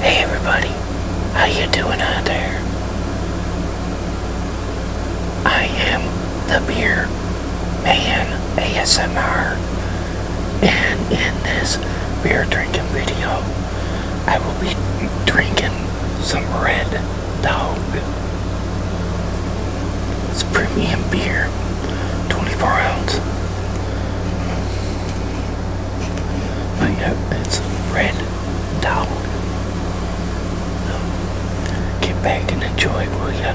Hey everybody, how you doing out there? I am the Beer Man ASMR, and in this beer drinking video, I will be drinking some Red Dog. It's premium beer, 24 ounce. I got it's red towel. get back and enjoy, will ya?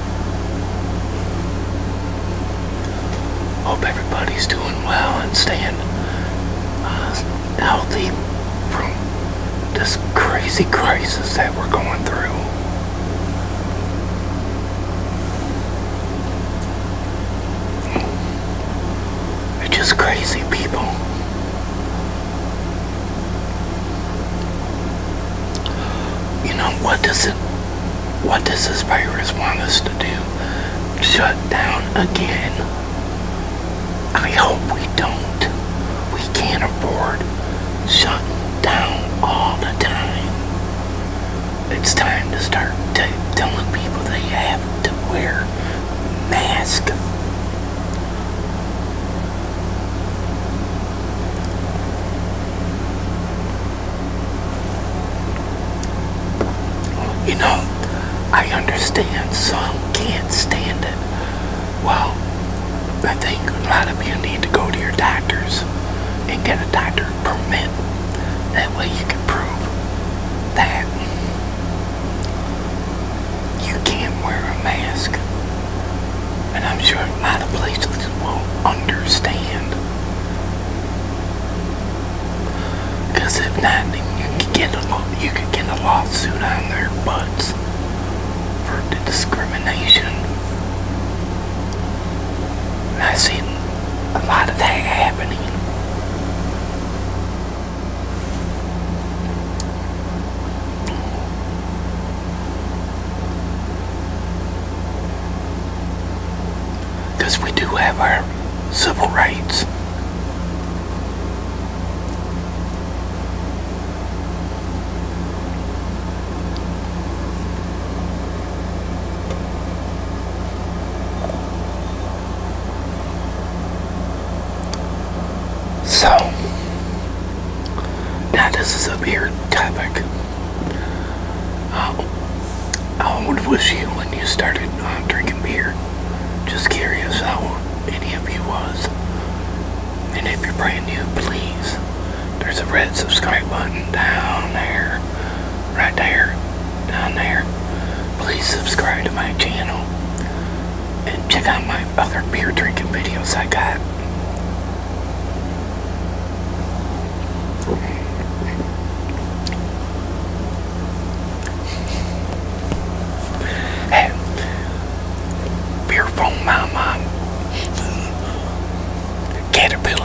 Hope everybody's doing well and staying uh, healthy from this crazy crisis that we're going through. It's just crazy people. You know what does it what does this virus want us to do? Shut down again. I hope we don't. We can't afford shut down all the time. It's time to start telling people they have to wear masks. You know, I understand some can't stand it. Well, I think a lot of you need to go to your doctors and get a doctor permit. That way you can prove that you can't wear a mask and I'm sure a lot of places will understand. if not, then you could get a you could get a lawsuit on their butts for the discrimination. I see a lot of that happening. Because we do have our civil rights. So, now this is a beer topic. Uh, how old was you when you started drinking beer? Just curious how any of you was. And if you're brand new, please, there's a red subscribe button down there, right there, down there. Please subscribe to my channel and check out my other beer drinking videos I got. Hey, beer foam mama, caterpillars.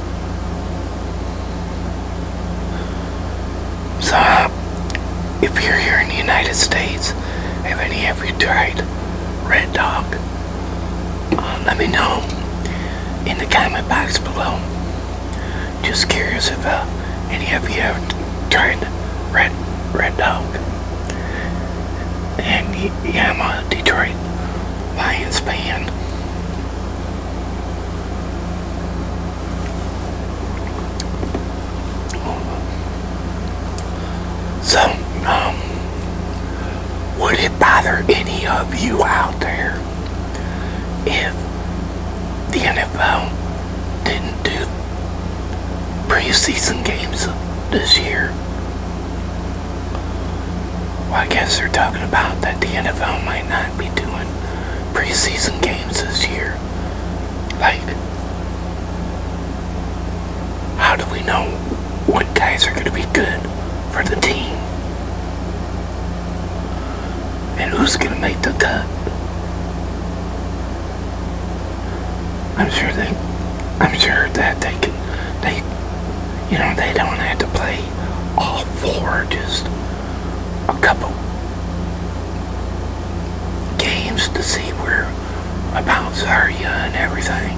So, if you're here in the United States, have any of you tried Red Dog? Uh, let me know in the comment box below. Just curious if uh, any of you have tried Red Red Dog. And yeah, I'm a Detroit Lions fan. So, um, would it bother any of you out there if the NFL didn't do preseason games this year? I guess they're talking about that the NFL might not be doing preseason games this year. Like, how do we know what guys are going to be good for the team? And who's going to make the cut? I'm sure that I'm sure that they can they, you know, they don't have to play all four, just a couple games to see where abouts are you and everything.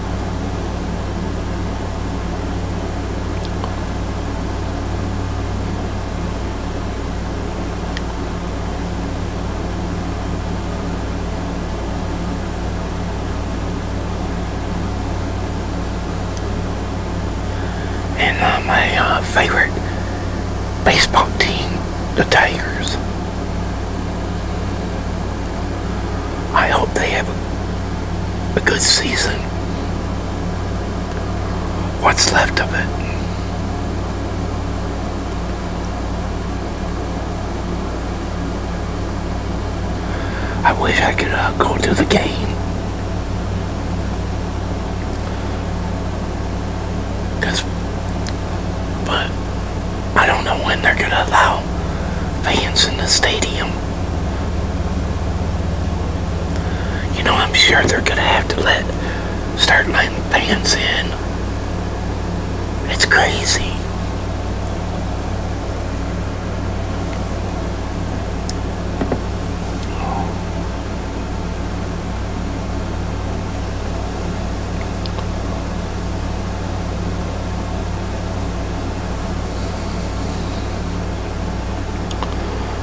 And uh, my uh, favorite baseball team, the Tigers. I hope they have a, good season. What's left of it. I wish I could uh, go to the game. Cause, but I don't know when they're gonna allow fans in the stadium. You know, I'm sure they're gonna have to let start letting fans in. It's crazy.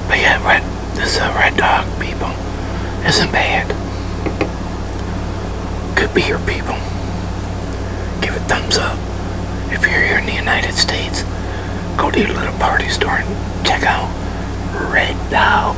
But yeah, red, this uh, red dog people isn't bad. Good beer people. Give a thumbs up. If you're here in the United States, go to your little party store and check out Red Dog.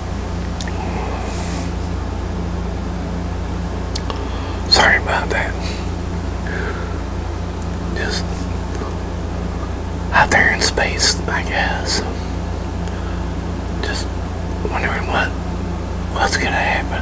Sorry about that. Just out there in space, I guess. Just wondering what what's gonna happen.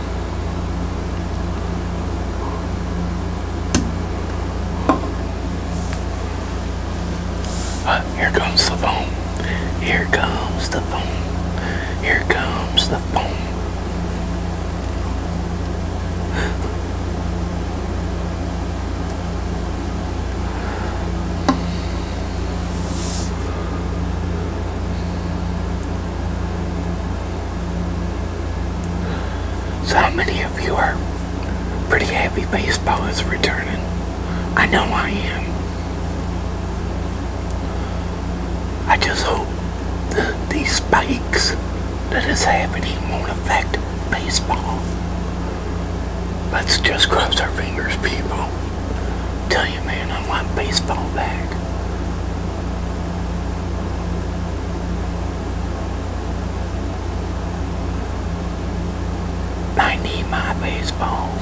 here comes the phone. Here comes the phone. Here comes the phone. So how many of you are pretty happy baseball is returning? I know I am. I just hope these spikes that is happening won't affect baseball. Let's just cross our fingers, people. Tell you, man, I want baseball back. I need my baseball.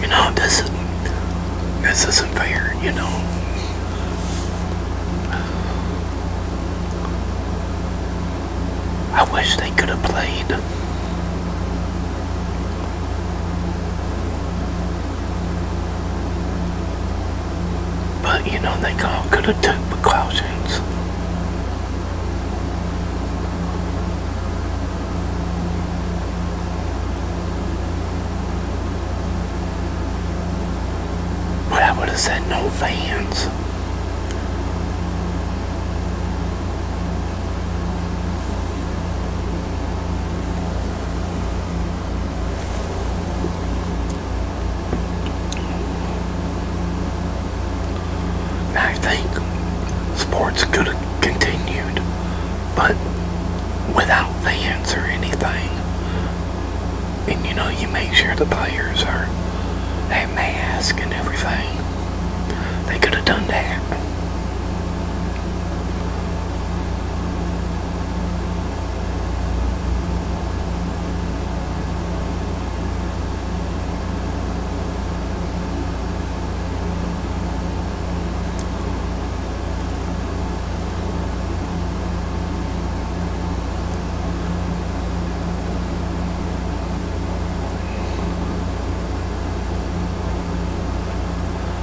you know, this this isn't fair, you know. I wish they could have played but you know they could have took precautions but I would have said no fans. I think sports could have continued, but without fans or anything and you know you make sure the players are have mask and everything. They could have done that.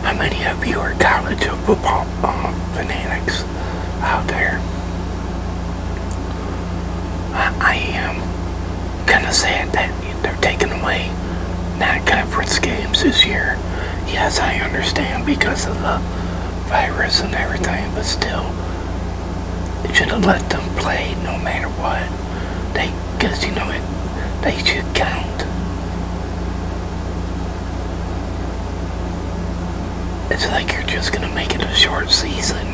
How many of you are college football uh, fanatics out there? I, am kind of sad that they're taking away non-conference games this year. Yes, I understand because of the virus and everything, but still, you should have let them play no matter what. They, because you know it, they should count. It's like you're just gonna make it a short season.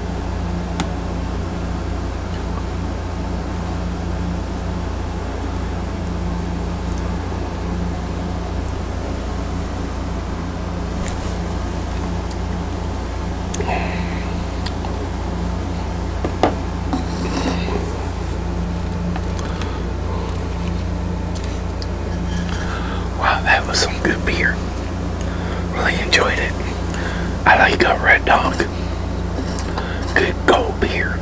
Wow, that was some good beer. Really enjoyed it. I like a Red Dog. Good gold beer.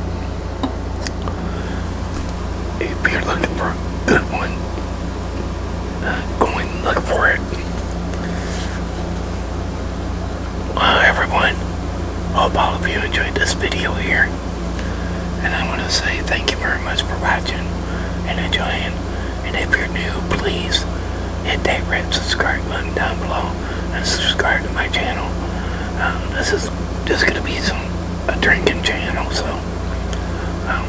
If you're looking for a good one, go and look for it. Well, everyone, hope all of you enjoyed this video here. And I want to say thank you very much for watching and enjoying. And if you're new, please hit that red subscribe button down below and subscribe to my channel. Um, this is just going to be some a drinking channel, so um,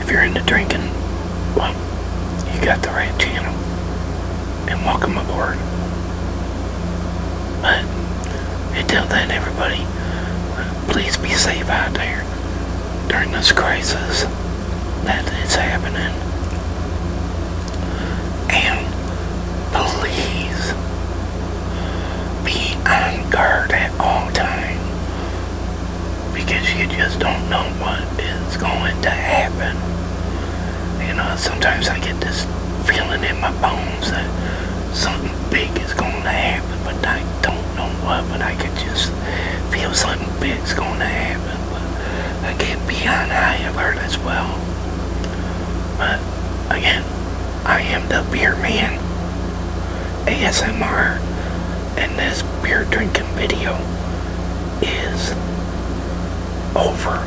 if you're into drinking, well, you got the right channel. And welcome aboard. But until then, everybody, uh, please be safe out there during this crisis that is happening. And please be on guard at all times because you just don't know what is going to happen. You know, sometimes I get this feeling in my bones that something big is going to happen, but I don't don't know what, but I could just feel something big's going to happen. But again, beyond I have heard as well. But again, I am the beer man. ASMR and this beer drinking video is over.